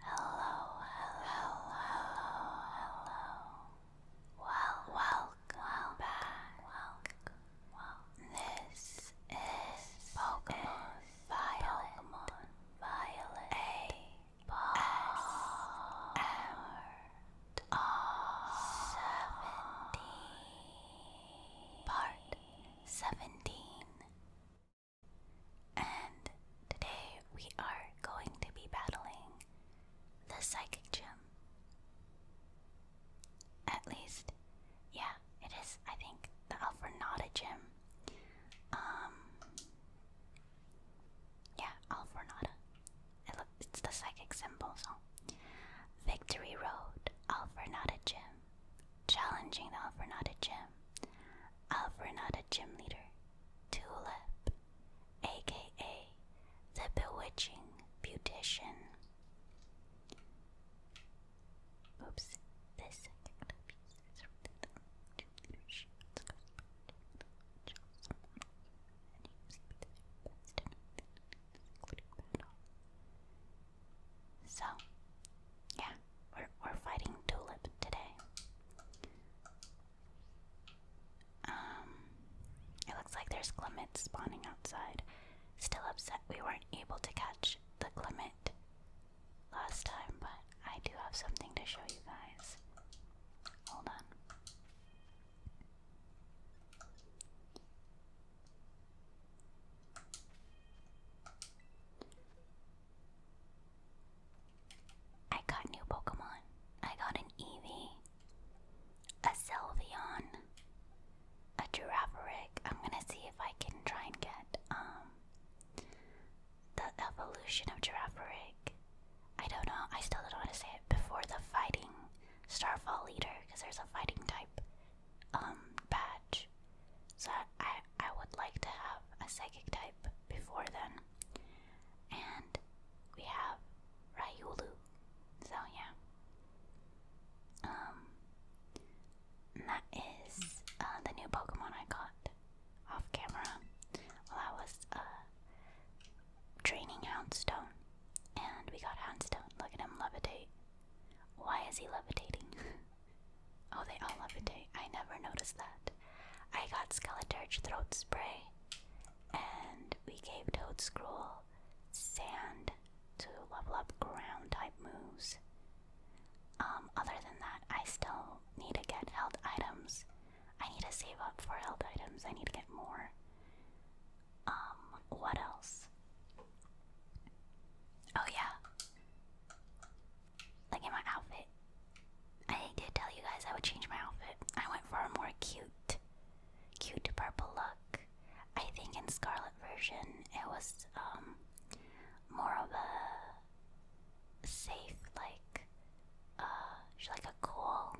Hello, hello, hello, hello. welcome, welcome Welcome, This is Pokemon Violet seventeen, part seventeen, and today we are going to be battling the psychic gym. At least, yeah, it is. I think the Alfernada gym. Um, yeah, Alfornada. I look, it's the psychic symbols so. Victory Road, Alfornada Gym. Challenging the Alfornada Gym. Alfornada Gym Leader, Tulip, aka the Bewitching Beautician. Oops, this so, yeah, we're we're fighting Tulip today. Um, it looks like there's clements spawning outside. Still upset we weren't able to catch the clement last time, but I do have something to show you guys. Hold on. I got new Pokemon. I got an Eevee, a Selvion, a Girafarig. I'm gonna see if I can try and get um the evolution of Girafarig. I don't know. I still don't want to say it before the fighting Starfall leader, because there's a fighting type um badge. So I I would like to have a psychic type before then. And we have Ryulu. So yeah. Um that is uh, the new Pokemon I got off camera while I was uh training Houndstone. And we got Houndstone. Look at him levitate. Why is he levitating? oh, they all levitate. I never noticed that. I got Skeleturge Throat Spray. And we gave Toad Scroll Sand to level up ground type moves. Um, other than that, I still need to get held items I need to save up for health items. I need to get more. Um, what else? Oh yeah. Look at my outfit. I did tell you guys I would change my outfit. I went for a more cute, cute purple look. I think in Scarlet version it was um more of a safe like she's uh, like a cool,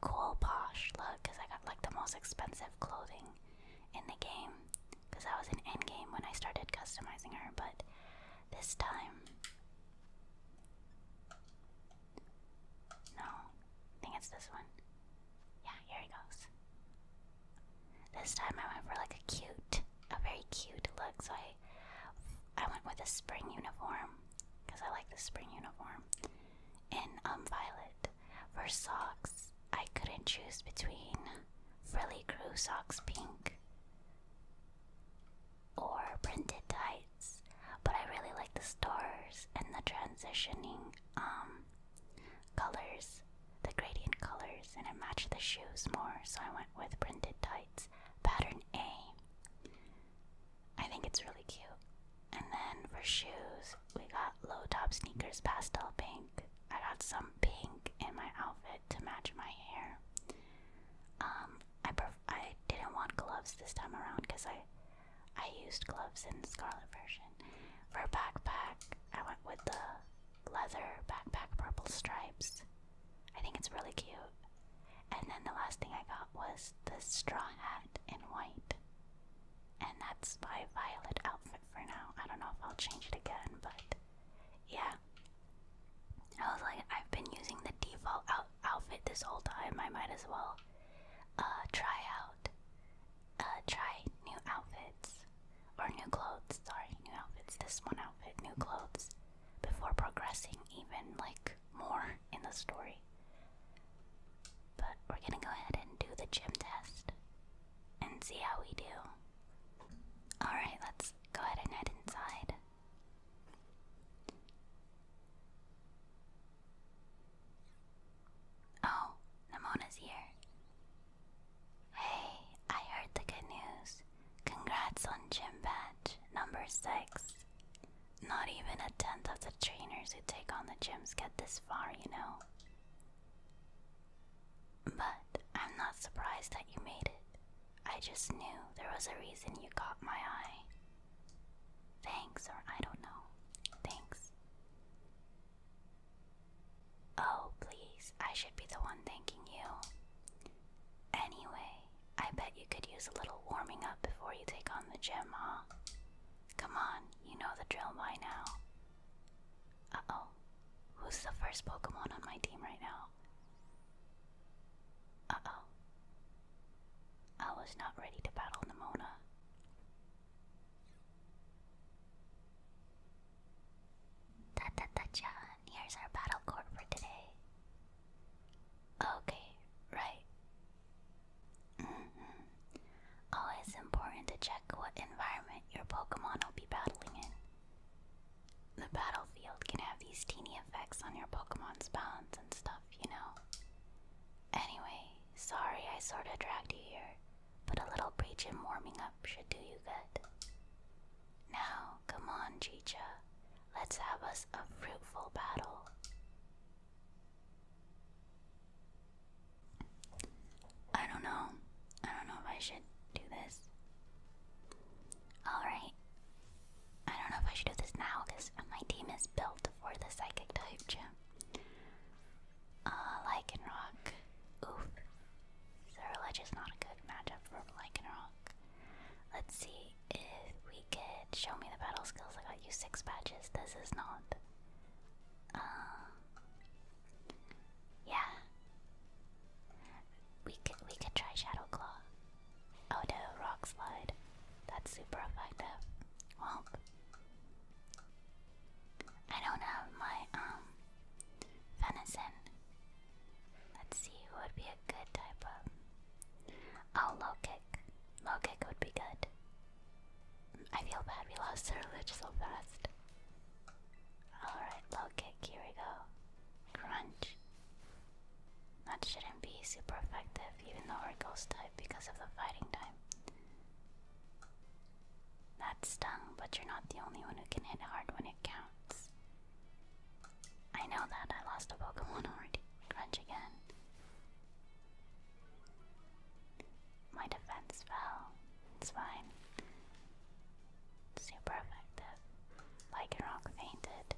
cool posh look because I got like the most expensive clothing in the game because I was in end game when I started customizing her, but this time. No, I think it's this one. Yeah, here he goes. This time I went for like a cute, a very cute look. So I, I went with a spring uniform because I like the spring uniform. In um violet. For socks, I couldn't choose between frilly crew socks pink or printed tights, but I really like the stars and the transitioning um colors, the gradient colors, and it matched the shoes more, so I went with printed tights. Pattern A. I think it's really cute. And then for shoes, we got low top sneakers, pastel pink. I got some pink in my outfit to match my hair. Um, I I didn't want gloves this time around because I I used gloves in the Scarlet version. For backpack, I went with the leather backpack purple stripes. I think it's really cute. And then the last thing I got was the straw hat in white. And that's my violet outfit for now. I don't know if I'll change it again, but yeah. I was like, I've been using the default outfit this whole time. I might as well uh, try out, uh, try new outfits or new clothes. Sorry, new outfits. This one outfit, new clothes, before progressing even like more in the story. But we're gonna go ahead and do the gym test and see how we do. Alright, let's go ahead and head inside. Oh, Namona's here. Hey, I heard the good news. Congrats on gym badge number six not even a tenth of the trainers who take on the gyms get this far, you know. But I'm not surprised that you made it. I just knew there was a reason you caught my eye. Thanks, or I don't know. Thanks. Oh, please, I should be the one thanking you. Anyway, I bet you could use a little warming up before you take on the gym, huh? Come on, you know the drill by now. Uh oh. Who's the first Pokemon on my team right now? Uh oh. I was not ready to battle Nimona. Ta ta ta chan, here's our battle court for today. Okay, right. Mm Always important to check what environment your Pokemon will be battling in. The battlefield can have these teeny effects on your Pokemon's balance and stuff, you know? Anyway, sorry I sorta dragged you here, but a little breach warming up should do you good. Now, come on, Chicha. Let's have us a fruitful battle. I don't know. I don't know if I should do this. Alright. I don't know if I should do this now because my team is built for the psychic type gym. Uh, Lycanroc. Oof. So, Religious is not a good matchup for Lycanroc. Let's see if we could show me the battle skills. I got you six badges. This is not. Um, yeah. We could we could try Shadow Claw. Oh no, Rock Slide. That's super effective. Well, I don't have my um venison. Let's see would be a good type of. Oh, low kick. Low kick would be good. I feel bad we lost Surge so fast. Alright, low kick, here we go. Crunch. That shouldn't be super effective, even though we're ghost type because of the fighting type. That stung, but you're not the only one who can hit hard when it counts. I know that, I lost a Pokemon already. Crunch again. My defense fell. It's fine. Super effective. Lycanroc fainted.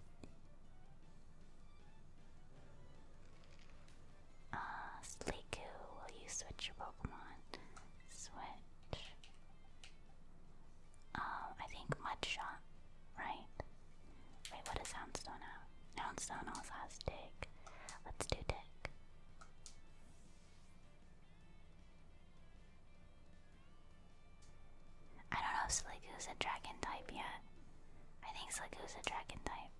Ah, uh, will you switch your Pokemon? Switch. Um, I think Mudshot right? Wait, what does houndstone have? Houndstone also has dig. Let's do dig. I don't know if is a dragon type yet. I think is a dragon type.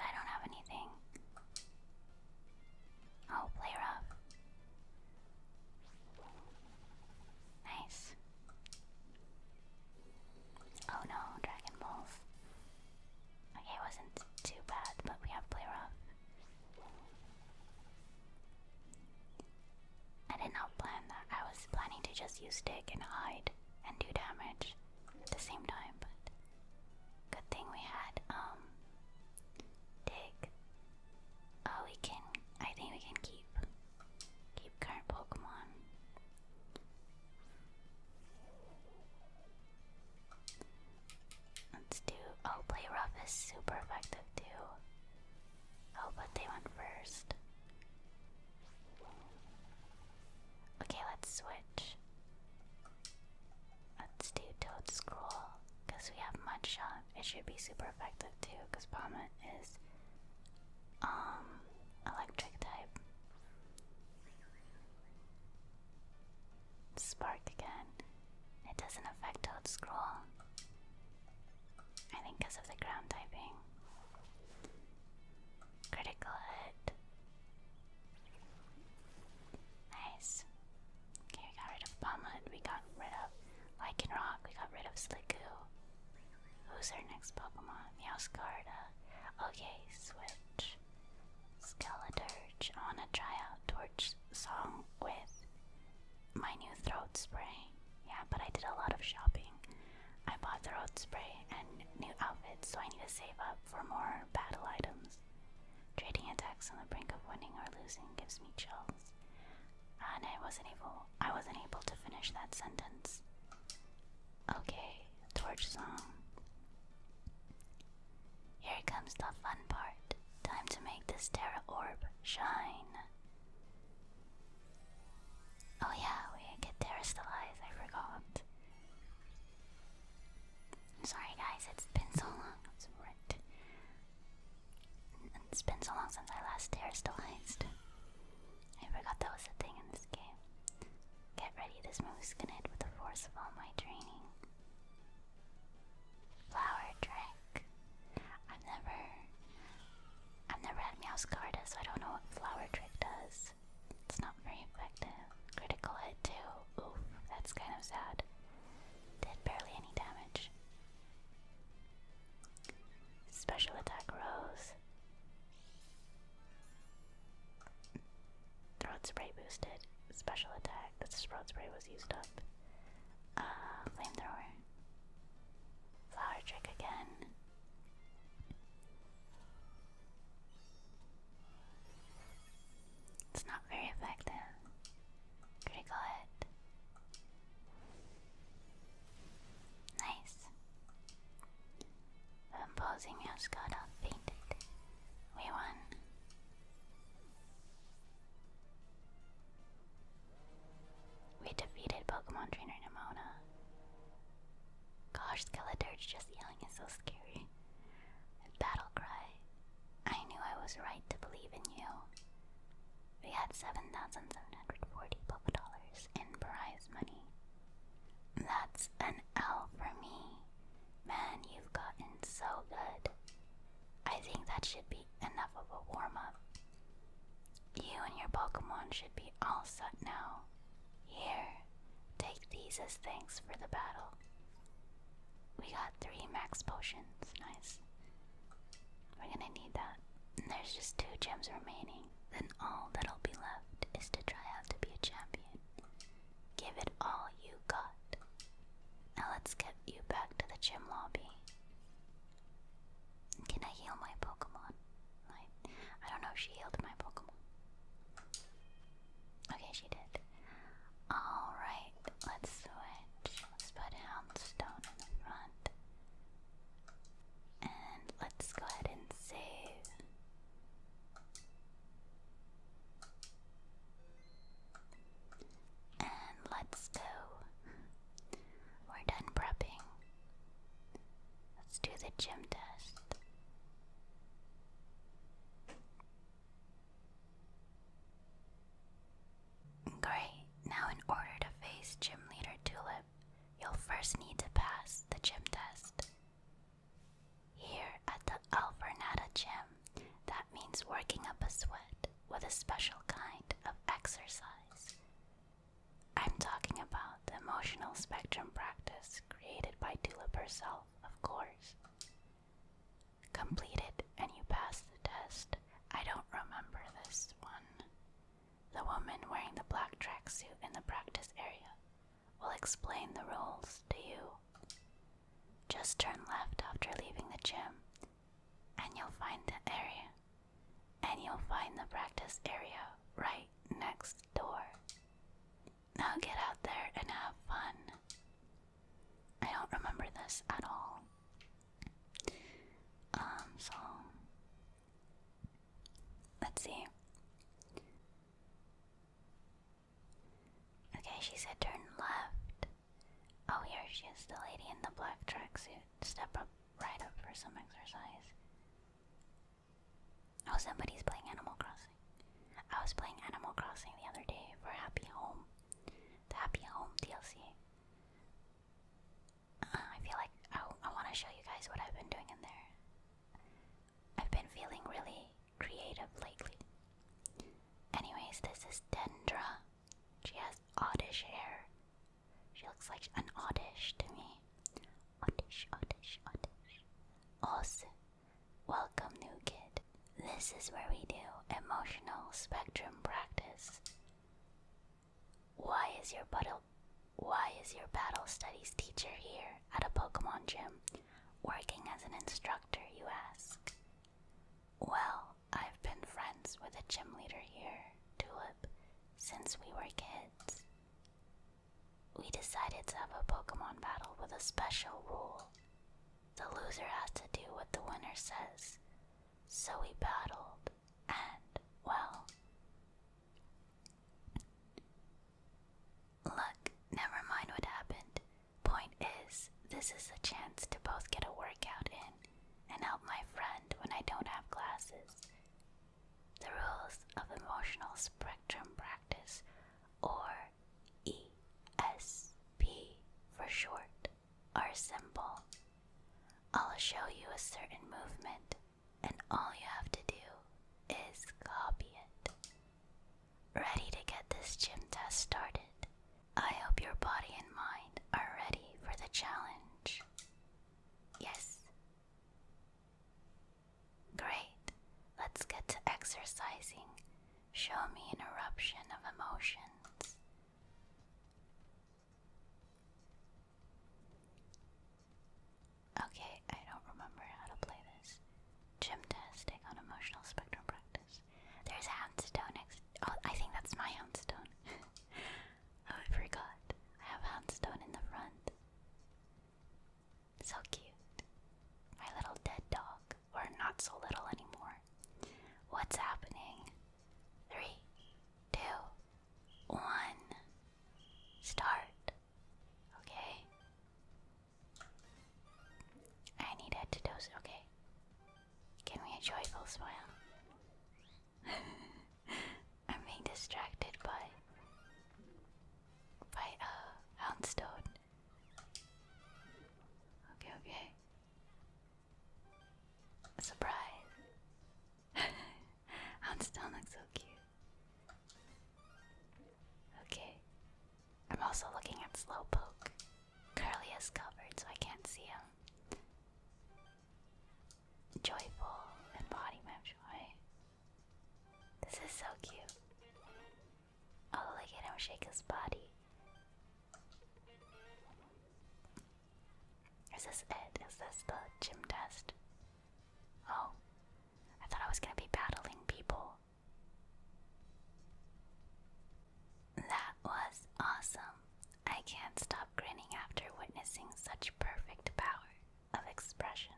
I don't have anything. Oh, play rough. Nice. Oh no, Dragon Balls. Okay, it wasn't too bad, but we have play rough. I did not plan that. I was planning to just use stick and hide and do damage at the same time, but good thing we had um dig. Uh, we can I think we can keep Keep current Pokemon. Let's do. Oh, play rough is super effective too. Oh, but they went first. Okay, let's switch. Let's do Toad Scroll because we have Mudshot. It should be super effective too because Palmet is um electric type. Spark again. It doesn't affect Toad I think because of the ground typing. Critical hit. Nice. Okay, we got rid of Palmud, we got rid of Lycanroc, we got rid of Slickoo. Who's our next Pokemon? Meowscarda. Okay, switch. Skeleturge. I wanna try out Torch Song with my new throat spray. Yeah, but I did a lot of shopping. I bought throat spray and new outfits, so I need to save up for more battle items. Trading attacks on the brink of winning or losing gives me chills. Ah, and I wasn't able I wasn't able to finish that sentence. Okay, torch song. Here comes the fun part. Time to make this Terra Orb shine. Oh yeah, we get Terra Stellize, I forgot. Sorry guys, it's been so long. right. it's been so long since I last Terra Stellized. I forgot that was a thing in this game. Get ready, this move is gonna hit with the force of all my training. Flower Drake. I've never I've never had Meowscarda, so I don't know what flower trick does. It's not very effective. Critical hit too. Oof, that's kind of sad. Did barely any damage. Special attack rose. Throat spray boosted. Special attack. This throat spray was used up. Uh, flamethrower. Flower trick again. It's not very effective. Critical hit. Nice. The opposing has got off fainted. We won. We defeated Pokemon Trainer Nimona. Gosh, Skeleturge just yelling is so scary. Battle cry. I knew I was right to believe in you. We had 7,740 Poké dollars in prize money. That's an L for me. Man, you've gotten so good. I think that should be enough of a warm up. You and your Pokemon should be all set now. Here, take these as thanks for the battle. We got three max potions, nice. We're gonna need that. there's just two gems remaining then all that'll be left is to try out to be a champion. Give it all you got. Now let's get you back to the gym lobby. Can I heal my Pokemon? I, I don't know if she healed my Pokemon. Okay, she did. Alright, let's switch. Let's put Houndstone in the front. And let's go ahead and save. And let's go. We're done prepping. Let's do the gym test. Great, now in order to face Gym Leader Tulip, you'll first need to pass the gym test. Here at the Alvernada Gym, that means working up a sweat with a special kind of exercise. I'm talking about the emotional spectrum practice created by Tulip herself, of course. Complete it and you pass the test. I don't remember this one. The woman wearing the black tracksuit in the practice area will explain the rules to you. Just turn left after leaving the gym, and you'll find the area. And you'll find the practice area right next door. Now get out there and have fun. I don't remember this at all. Um, so Let's see. Okay, she said turn left. Oh, here she is, the lady in the black tracksuit. Step up, right up for some exercise. Oh, somebody's playing Animal Crossing. I was playing Animal Crossing the other day for Happy Home, the Happy Home DLC. I feel like oh, I, want to show you guys what I've been doing in there. I've been feeling really creative lately. Anyways, this is Dendra. She has oddish hair. She looks like an oddish to me. Oddish, oddish, oddish. Os, welcome new kid. This is where we do emotional spectrum practice. Why is your battle why is your battle studies teacher here at a Pokemon gym working as an instructor, you ask? Well, I've been friends with the gym leader here, Tulip, since we were kids. We decided to have a Pokemon battle with a special rule. The loser has to do what the winner says. So we battled, and, well, Look, never mind what happened. Point is, this is a chance to both get a workout in and help my friend when I don't have classes. The rules of emotional spectrum practice, or ESP for short, are simple. I'll show you a certain movement and all you have to do is copy it. Ready to get this gym test started? I hope your body and mind are ready for the challenge. Yes. Great. Let's get to exercising. Show me an eruption of emotions. Okay, I don't remember how to play this. Gym Gymnastic on emotional spectrum practice. There's a handstone next. Oh, I think that's my handstone. oh, I forgot. I have handstone in the front. So cute. My little dead dog. Or not so little anymore. What's happening? Three, two, one. Start. Okay. I need a to dose. Okay. Give me a joyful smile. I'm being distracted by by uh houndstone. Okay, okay. Surprise. I'm still so cute. Okay. I'm also looking at Slowpoke. Curly is covered, so I can't see him. Joyful and body map joy. This is so cute. Oh, look at him shake his body. Is this it? Is this the gym test? Oh, I thought I was gonna be battling people. That was awesome. I can't stop grinning after witnessing such perfect power of expression.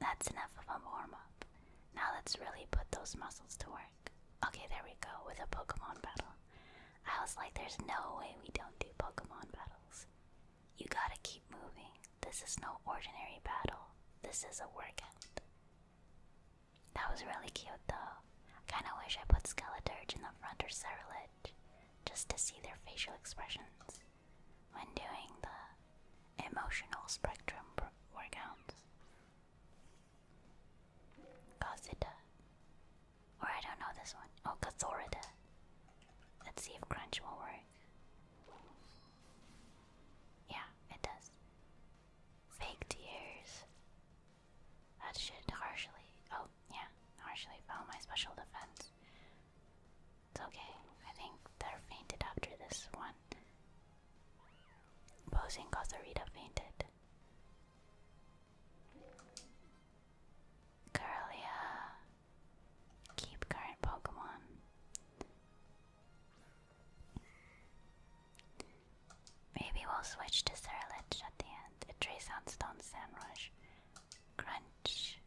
That's enough of a warm up. Now let's really put those muscles to work. Okay, there we go with a Pokemon battle. I was like, there's no way we don't do Pokemon battles. You gotta keep moving. This is no ordinary battle. This is a workout. That was really cute though. I kinda wish I put Skeleturge in the front or Ceruledge just to see their facial expressions when doing the emotional spectrum workouts. Godzilla. Or I don't know this one. Oh, Gazorida. Let's see if Crunch will work. Yeah, it does. Fake tears. That should harshly. Oh, yeah, harshly foul my special defense. It's okay. I think they're fainted after this one. Posing Cosarita fainted. Curlia Keep current Pokemon. Maybe we'll switch to Serilitch at the end. It trace out Stone Sandrush. Crunch.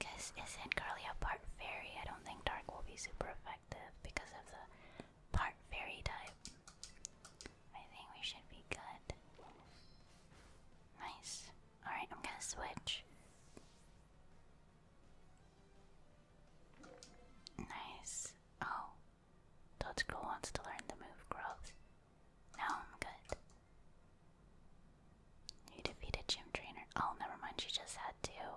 Cause isn't Curly a part fairy? I don't think Dark will be super effective because of the part fairy type. I think we should be good. Nice. Alright, I'm gonna switch. Nice. Oh. Totsuko wants to learn the move growth. Now I'm good. You defeated Gym Trainer. Oh, never mind, she just had two.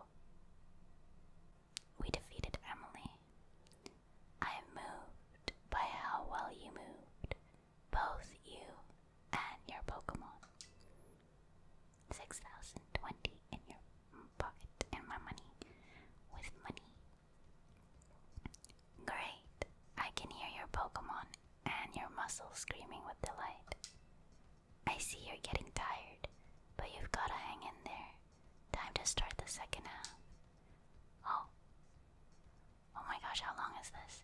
We defeated Emily. I am moved by how well you moved, both you and your Pokemon. 6020 in your pocket and my money with money. Great. I can hear your Pokemon and your muscles screaming with delight. I see you're getting tired, but you've gotta hang in there. Time to start the second half. Oh. Oh my gosh, how long is this?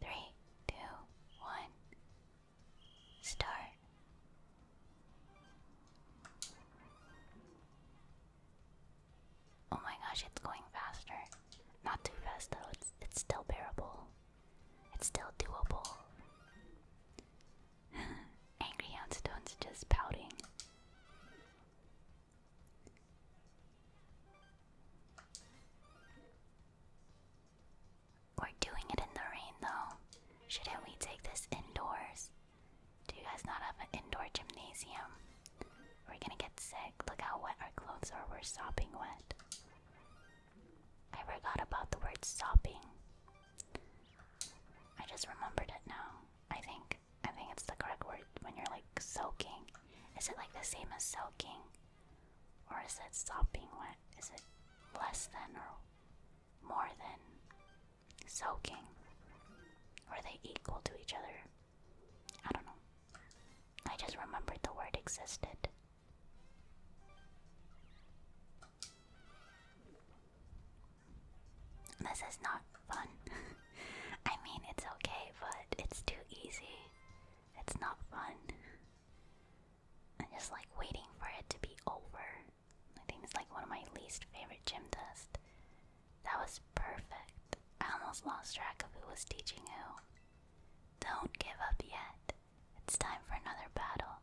Three, two, one. Start. Oh my gosh, it's going faster. Not too fast though, it's, it's still bearable. It's still doable. Angry Houndstone's just pouting. We're doing it in the rain though. Shouldn't we take this indoors? Do you guys not have an indoor gymnasium? We're gonna get sick. Look how wet our clothes are. We're sopping wet. I forgot about the word sopping. I just remembered it now. I think I think it's the correct word when you're like soaking. Is it like the same as soaking? Or is it stopping? wet? Is it less than or more than soaking? Are they equal to each other? I don't know. I just remembered the word existed. This is not fun. I mean, it's okay, but it's too easy. It's not fun. I'm just like waiting for it to be over. I think it's like one of my least favorite gym tests. That was perfect. I almost lost track of who was teaching who. Don't give up yet. It's time for another battle.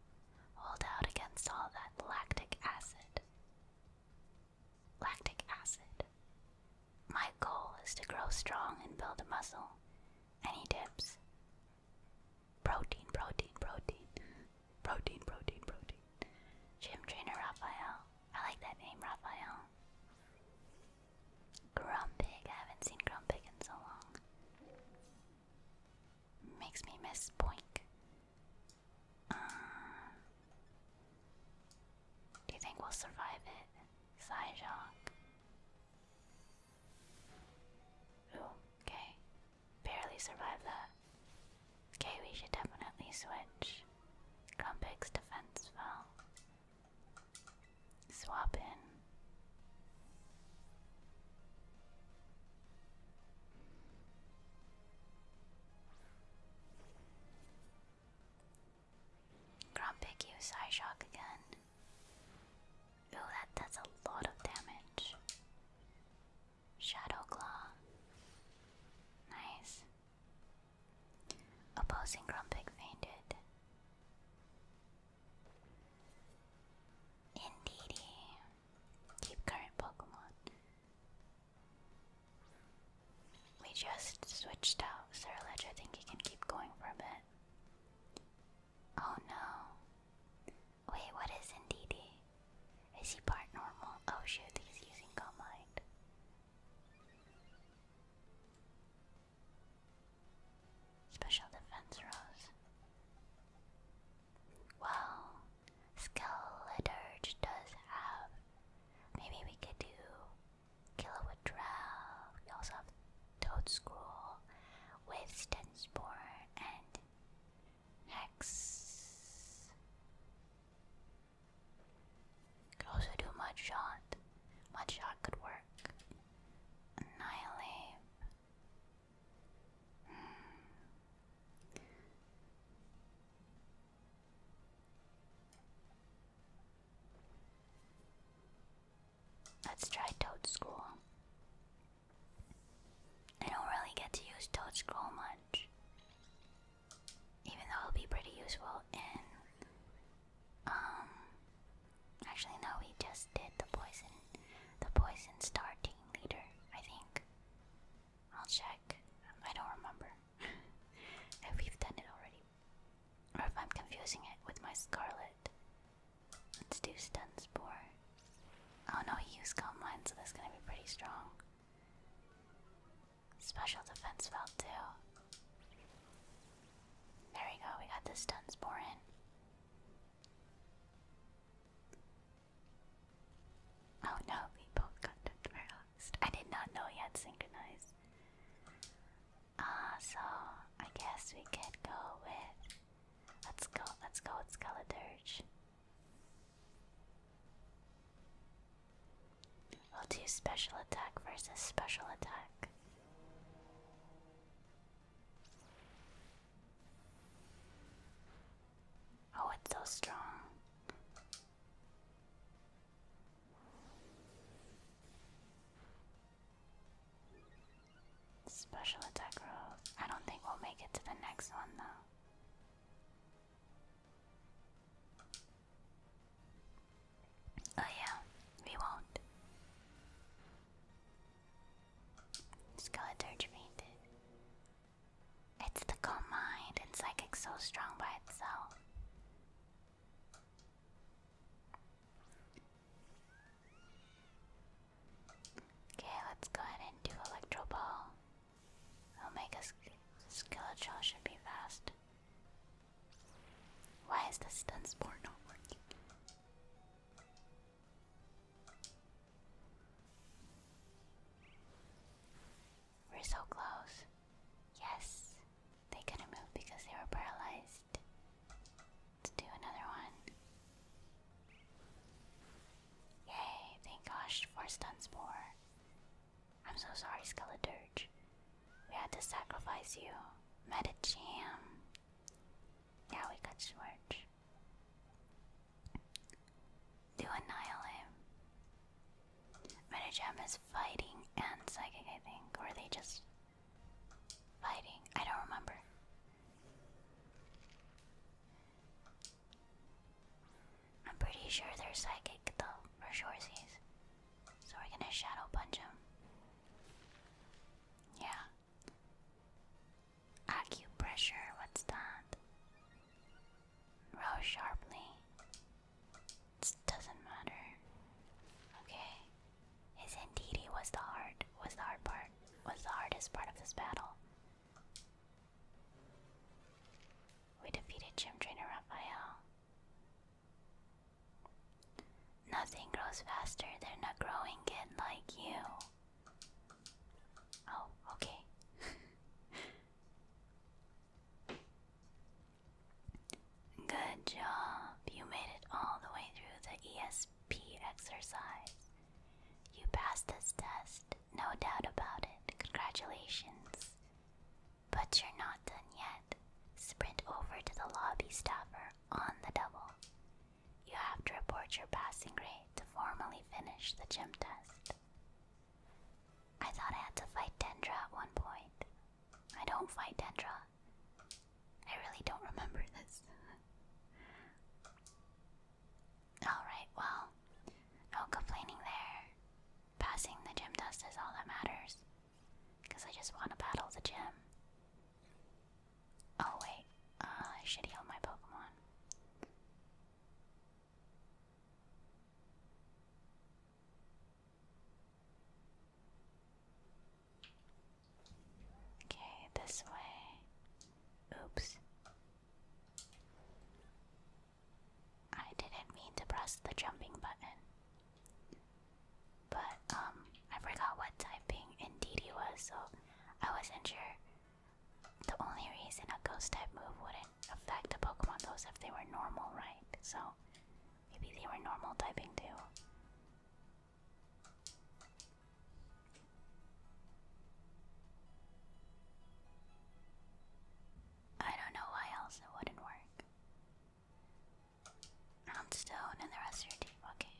Hold out against all that lactic acid lactic acid. My goal is to grow strong and build a muscle. Any tips? Protein, protein, protein. Protein, protein, protein. Gym trainer Raphael. I like that name, Raphael. Grumpig. I haven't seen Grumpig in so long. Makes me miss Boink. Uh, do you think we'll survive it, Psyjong? Ooh, okay. Barely survived that. Okay, we should definitely switch. Grumpig's defense fell. Swap in. Grumpig used Eye Shock again. Ooh, that, that's a lot of damage. Shadow Claw. Nice. Opposing Grumpig fainted. Indeedy. Keep current Pokemon. We just switched out Sir Ledge. I think he can keep going for a bit. Oh no. Wait, what is Indeedee? Is he part normal? Oh shoot, he's using Mind. Special defense rose. Well, Skeleturge does have. Maybe we could do Kilowood Drow. We also have Toad Scroll, with Stenspore, and Hex. Could also do Mud Shot. could work. Annihilate. Hmm. Let's try Toad School. I don't really get to use Toad Scroll much. Even though it'll be pretty useful in um actually no we just did the poison the poison star leader, I think. I'll check. I don't remember if we've done it already. Or if I'm confusing it with my Scarlet. Let's do Stun Oh no, he used Calm Mind, so that's gonna be pretty strong. Special Defense Felt too. There we go, we got the Stun in. Oh no, we both got touched. I did not know he had synchronized. Ah, so I guess we could go with. Let's go. Let's go with Skeleturge. We'll do special attack versus special attack. Oh, it's so strong. Special attack rolls. I don't think we'll make it to the next one though. Oh yeah, we won't. Skeleturge fainted. It's the calm mind and psychic so strong by itself. Okay, let's go ahead and do Electro Ball. Omega Skeletal should be fast. Why is the stun sport not working? We're so close. Yes, they couldn't move because they were paralyzed. do another one. Yay, thank gosh for stun spore. I'm so sorry, Skeleturge. We had to sacrifice you. Metacham. Yeah, we got Schwarch. Do a Metagem is fighting and psychic, I think. Or are they just fighting? I don't remember. I'm pretty sure they're psychic though, for sure. shoresies. So we're gonna shadow punch him. Yeah. Acupressure, what's that? Row sharply. It doesn't matter. Okay. His NTD was the hard was the hard part. Was the hardest part of this battle. We defeated Gym Trainer Raphael. Nothing grows faster than not growing it like you. Oh, okay. Good job. You made it all the way through the ESP exercise. You passed this test, no doubt about it. Congratulations. But you're not done yet. Sprint over to the lobby staffer on the double. You have to report your passing grade to formally finish the gym test. I thought I had to fight Dendra at one point, I don't fight Dendra. I really don't remember this. Alright, well, no complaining there. Passing the gym dust is all that matters. Because I just want to battle the gym. Oh, wait. Uh, should heal my Pokemon. Okay, this way. Oops. I didn't mean to press the jumping button. But, um, I forgot what typing indeed was, so I wasn't sure. The only reason a ghost type move wouldn't affect a Pokemon those if they were normal, right? So Maybe they were normal typing too. I don't know why else it wouldn't work. Round stone and the rest of your team. Okay.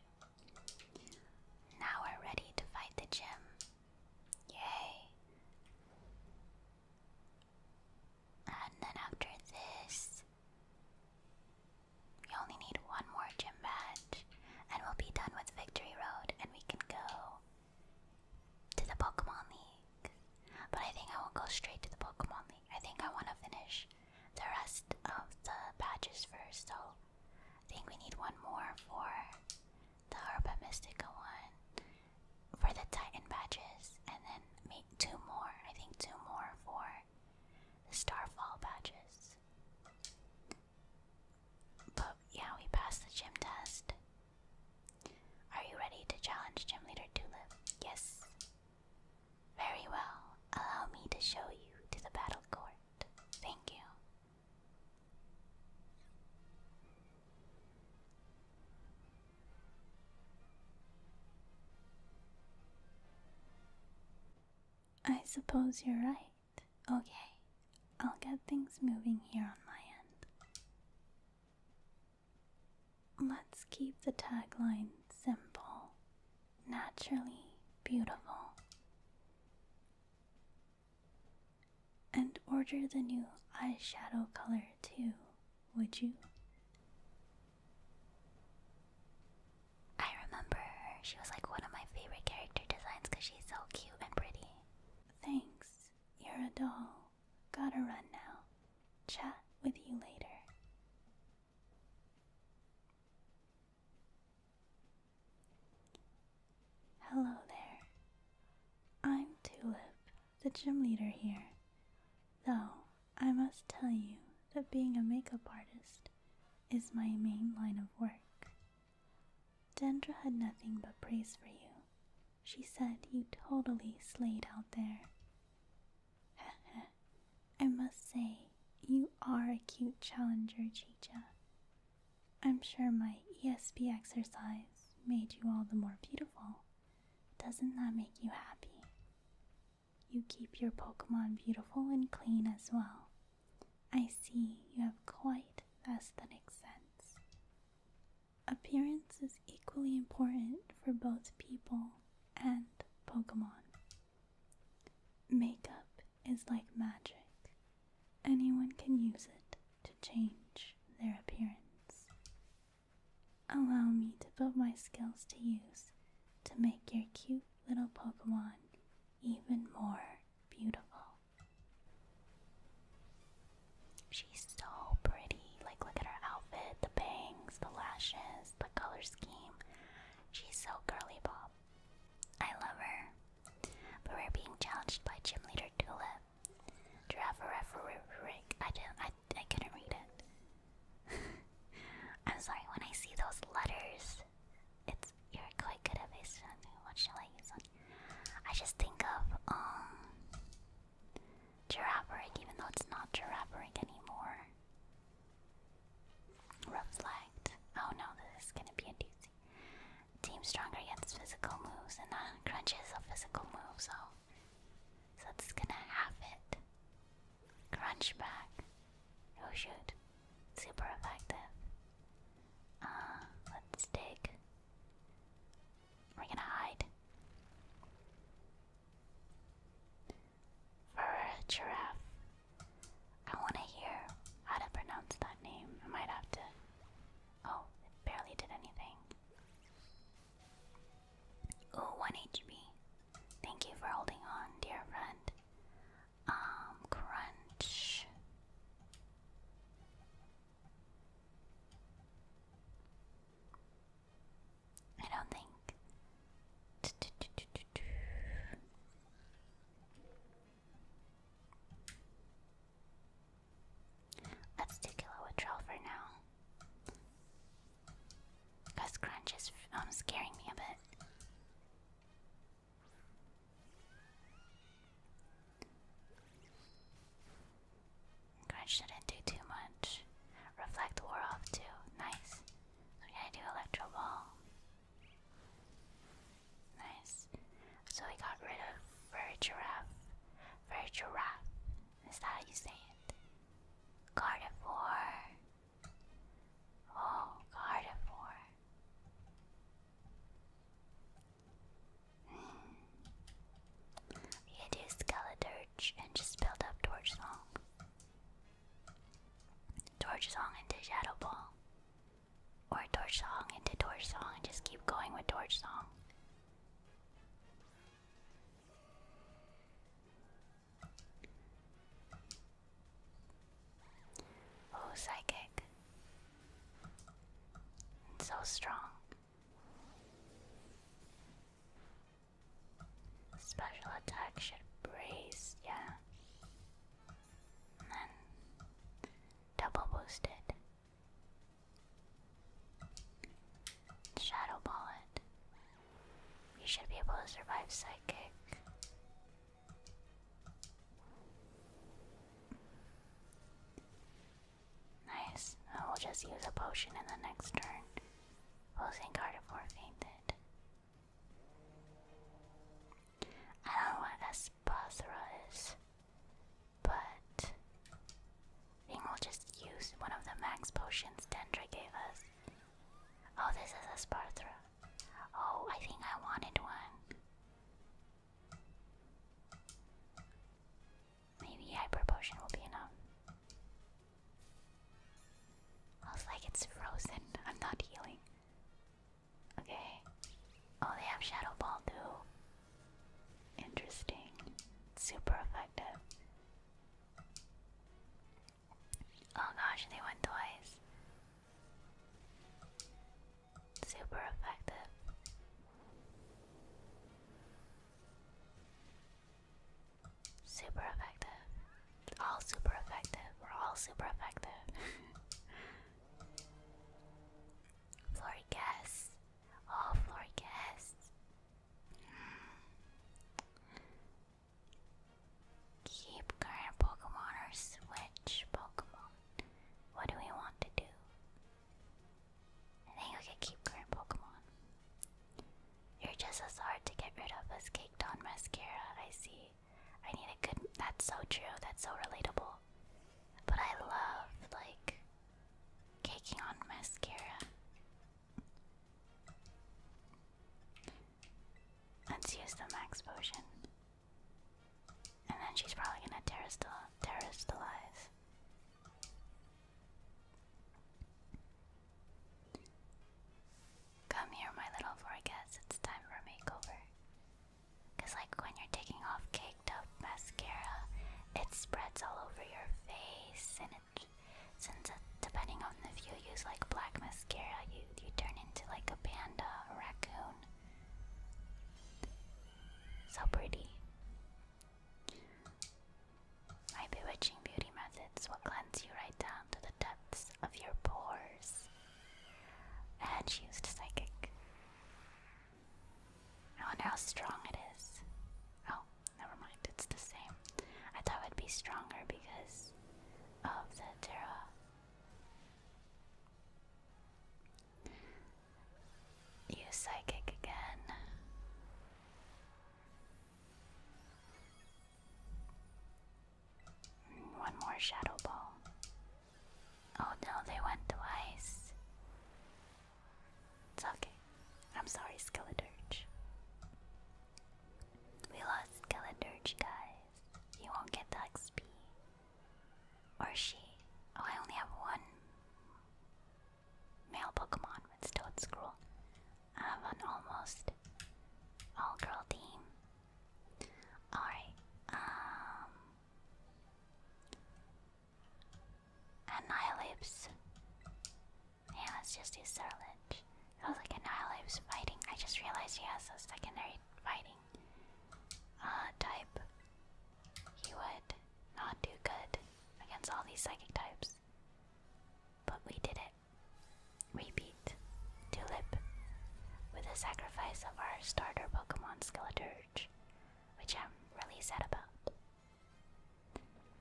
Now we're ready to fight the gym. Yay! And then after this, we only need one more gym match, and we'll be done with Victory Road, and we can go to the Pokemon League. But I think I won't go straight to the Pokemon League. I think I want to finish the rest of the badges first, so I think we need one more for the Herba Mystica one, for the Titan badges, and then two more. I think two more for the Starfall badges. But yeah, we passed the gym test. Are you ready to challenge Gym Leader Tulip? Yes. Very well. Allow me to show you to the battle court. Thank you. I suppose you're right. Okay, I'll get things moving here on my end. Let's keep the tagline simple, naturally beautiful, and order the new eyeshadow color too, would you? I remember She was like one of my favorite character designs because she's so cute and pretty. Thanks. You're a doll. Gotta run now. Chat with you later. Hello there. I'm Tulip, the gym leader here. Though I must tell you that being a makeup artist is my main line of work. Dendra had nothing but praise for you. She said you totally slayed out there. Heh I must say, you are a cute challenger, Chicha. I'm sure my ESP exercise made you all the more beautiful. Doesn't that make you happy? You keep your Pokemon beautiful and clean as well. I see you have quite aesthetic sense. Appearance is equally important for both people and Pokemon. Makeup is like magic. Anyone can use it to change their appearance. Allow me to put my skills to use to make your cute little Pokemon even more beautiful. She's so pretty. Like, look at her outfit, the bangs, the lashes, the color scheme. She's so girly Bob. I love her. But we're being challenged by Gym Leader Tulip. Giraffe ring. I didn't I I couldn't read it. I'm sorry, when I see those letters, it's you're quite good at this. What shall I use on? I just think of um Girafferic, even though it's not giraffe Girafferic anymore. Reflect. Oh no, this is gonna be a doozy. Team stronger gets physical moves, and uh, crunches a physical moves. so so it's gonna have it. Crunchback. Oh shoot. Super effective. Uh, let's dig. We're gonna hide. For a giraffe. I wanna hear how to pronounce that name. I might have to. Oh, it barely did anything. Oh, 1 HP. Thank you for holding on, dear friend. Um, crunch. I don't think. Let's take a little trial for now. Cause Crunch is um, scaring me a bit. Crunch shouldn't do too much. Reflect wore off too. Nice. So we gotta do Electro Ball. Nice. So we got rid of Furry Giraffe. Furry Giraffe. Is how you say it? Gardevoir. Oh, Gardevoir. Hmm. We could use and just build up Torch Song. Torch Song into Shadow Ball. Or Torch Song into Torch Song just keep going with Torch Song. Oh, psychic. It's so strong. Special attack should brace, yeah. And then double boosted. Shadow Ball you should be able to survive psychic. Nice. I will just use a potion in the next turn. Posing Gardevoir fainted. I don't know what Espasera but we'll just use one of the max potions Dendra gave us Oh, this is a Sparta. Oh, I think I wanted one. Maybe hyper potion will be enough. I like, it's frozen. I'm not healing. Okay. Oh, they have shadow ball too. Interesting. Super effective. Oh gosh, they went twice. Super effective. Super effective. All super effective. We're all super effective. Floricas. Oh, Floricas. Keep current Pokemon or switch Pokemon. What do we want to do? I think we could keep current Pokemon. You're just as hard to get rid of as caked on mascara, I see. I need a good that's so true, that's so relatable. But I love like caking on mascara. Let's use the max potion. And then she's probably gonna terroristalize. Come here, my little forecast. It's time for makeover. Cause like when you're taking off caked up mascara, it spreads all over your face challenge. Since uh, depending on if you use like black mascara, you you turn into like a panda, a raccoon. So pretty. My bewitching beauty methods will cleanse you right down to the depths of your pores. And she used psychic. I wonder how strong it is. Oh, Never mind, it's the same. I thought it would be stronger because of the Terra. You psychic again. One more shadow ball. Oh no, they went twice. It's okay. I'm sorry, Skeleturge. We lost Galadurge, guys. You won't get the XP. Or she. Oh, I only have one male Pokemon. It's Toad I have an almost all girl team. Alright. Um. Annihilapes. Yeah, let's just do Surge. I was like, Annihilate was fighting. I just realized he has a secondary fighting uh, type. He would not do good against all these psychic types. But we did it. Repeat, Tulip with the sacrifice of our starter Pokemon Skeleturge, which I'm really sad about.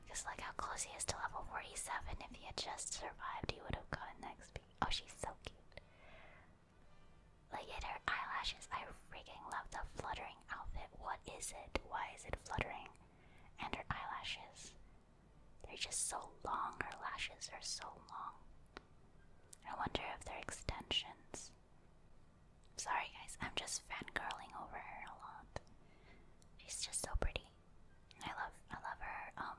Because like how close he is to level 47. If he had just survived, he would have gotten XP. Oh, she's so cute. Look at her eyelashes. I freaking love the fluttering outfit. What is it? Why is it fluttering? And her eyelashes. They're just so long. Her lashes are so long. I wonder if they're extensions. Sorry, guys, I'm just fan fangirling over her a lot. She's just so pretty. I love I love her um,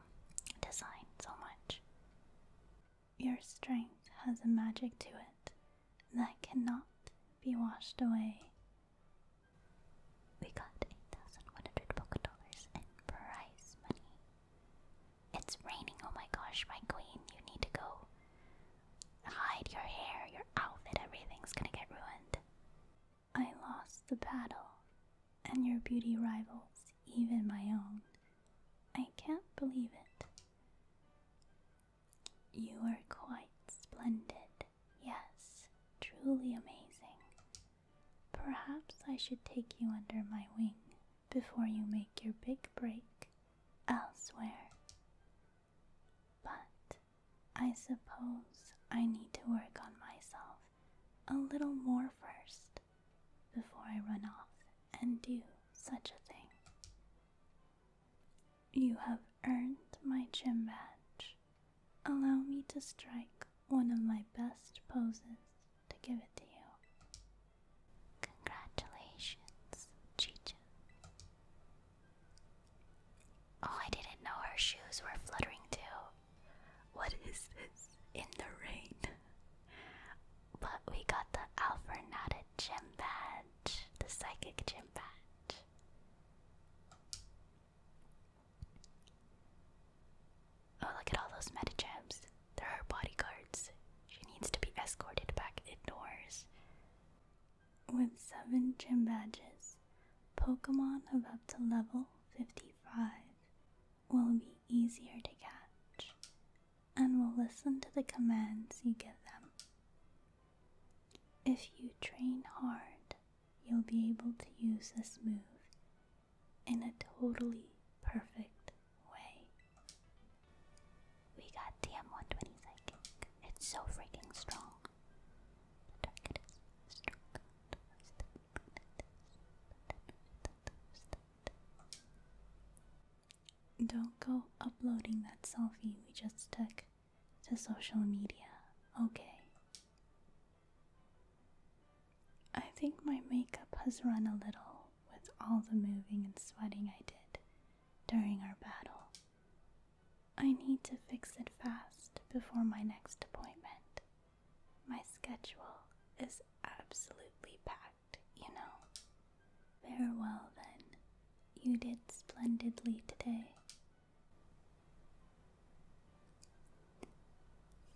design so much. Your strength has a magic to it that cannot be washed away. We got 8,100 Poké dollars in prize money. It's raining, oh my gosh, my queen, you need to go. Hide your hair, your outfit, everything's gonna get ruined. I lost the battle, and your beauty rivals even my own. I can't believe it. You are quite splendid, yes, truly amazing. Perhaps I should take you under my wing before you make your big break elsewhere. But I suppose I need to work on myself a little more first before I run off and do such a thing. You have earned my gym badge. Allow me to strike one of my best poses to give it to you. Congratulations, Chicha. Oh, I didn't know her shoes were fluttering too. What is this in the rain? But we got the Alphornada gym badge, the psychic gym badge. Oh, look at all those meta There are bodyguards. She needs to be escorted back indoors. With seven gym badges, Pokemon have up to level 55 will be easier to catch and will listen to the commands you give them. If you train hard, you'll be able to use this move in a totally perfect way. We got TM120 Psychic. It's so freaking strong. The target is don't go uploading that selfie we just took to social media, okay? I think my makeup has run a little with all the moving and sweating I did during our battle. I need to fix it fast before my next appointment. My schedule is absolutely packed, you know. Very well then. You did splendidly today.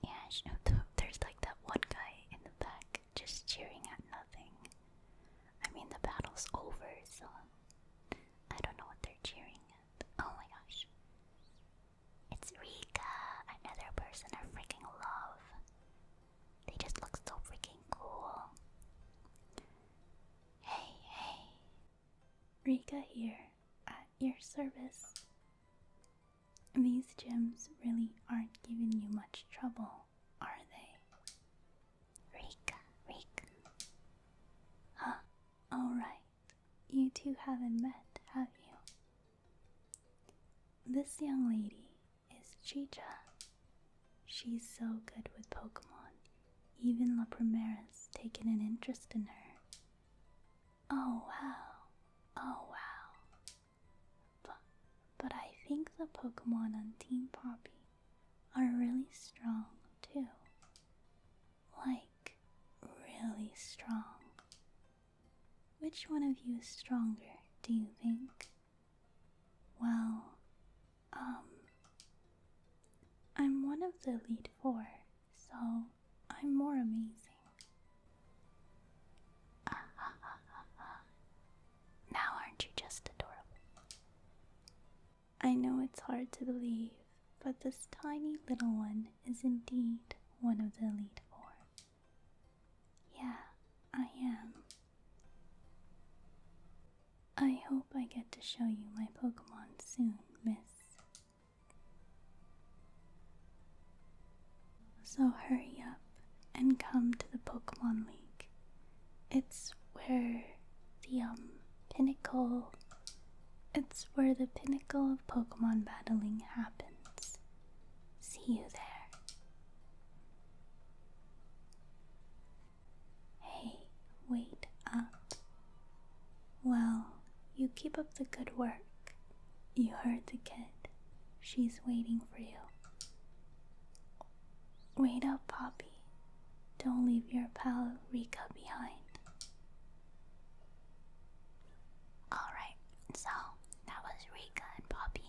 Yeah, you know, there's like that one guy in the back just cheering at nothing. I mean, the battle's over, so I don't know what they're cheering at. Oh my gosh. It's Rika, another person I freaking love. They just look so freaking cool. Hey, hey. Rika here, at your service. These gems really aren't giving you much trouble, are they? Rika, Rika. Huh, alright. You two haven't met, have you? This young lady is Chicha. She's so good with Pokemon. Even La Primera's taken an interest in her. Oh wow. Oh wow. But, but I think the Pokemon on Team Poppy are really strong too. Like, really strong. Which one of you is stronger, do you think? Well, um, I'm one of the lead four, so I'm more amazing. Ah, ah, ah, ah, ah. Now, aren't you just adorable? I know it's hard to believe, but this tiny little one is indeed one of the Elite Four. Yeah, I am. I hope I get to show you my Pokemon soon, miss. So hurry up and come to the Pokemon League. It's where the um pinnacle it's where the pinnacle of Pokemon battling happens. See you there. Hey, wait up. Well, you keep up the good work. You heard the kid. She's waiting for you. Wait up, Poppy. Don't leave your pal Rika behind. Alright, so that was Rika and Poppy,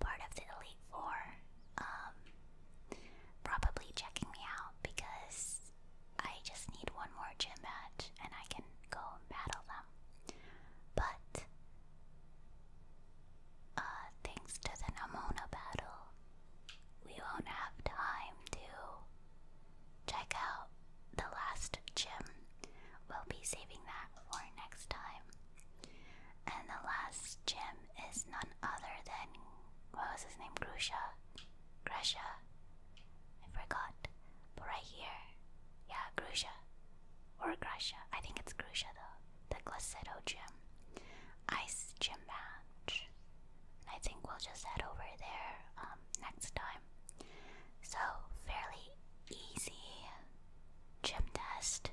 part of the Elite Four. Um, probably checking me out because I just need one more gym match and I can go battle them. But, uh, thanks to the Namona battle, we won't have time to check out the last gym. We'll be saving that for next time. And the last gym is none other than what was his name? Grusha. Grusha. I forgot. But right here. Yeah, Grusha. Or Grusha. I think it's Grusha though. The Glaceto gym. Ice gym match. I think we'll just head over there um, next time. So, fairly easy gym test,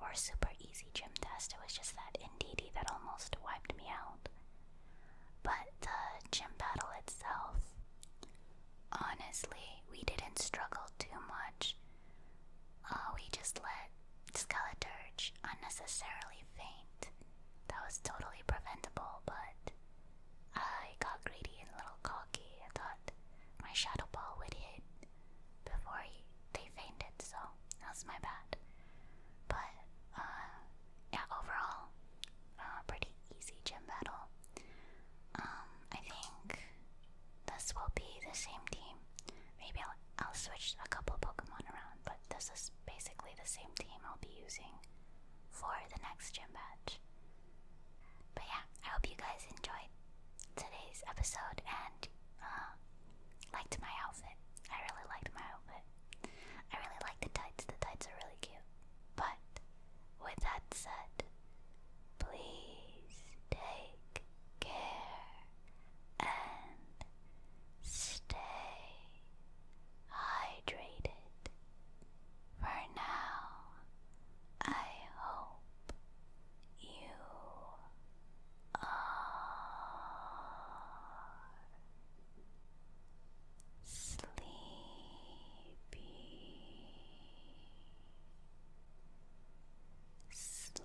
or super easy gym test. It was just that NDD that almost wiped me out. But the gym battle itself, honestly, we didn't struggle too much. Uh, we just let Skeleturge unnecessarily faint. That was totally preventable, but I got greedy and a little cocky. I thought my shadow ball would hit before they fainted, so that's my bad. But uh, yeah, overall, uh, pretty easy gym battle. Um, I think this will be the same team. Maybe I'll, switch a couple Pokemon around, but this is basically the same team I'll be using for the next gym battle. But yeah, I hope you guys enjoyed today's episode and uh, liked my outfit. I really liked my outfit. I really like the tights. The tights are really cute. But with that said, please take care and stay hydrated. For now, I hope you are sleepy, sleepy.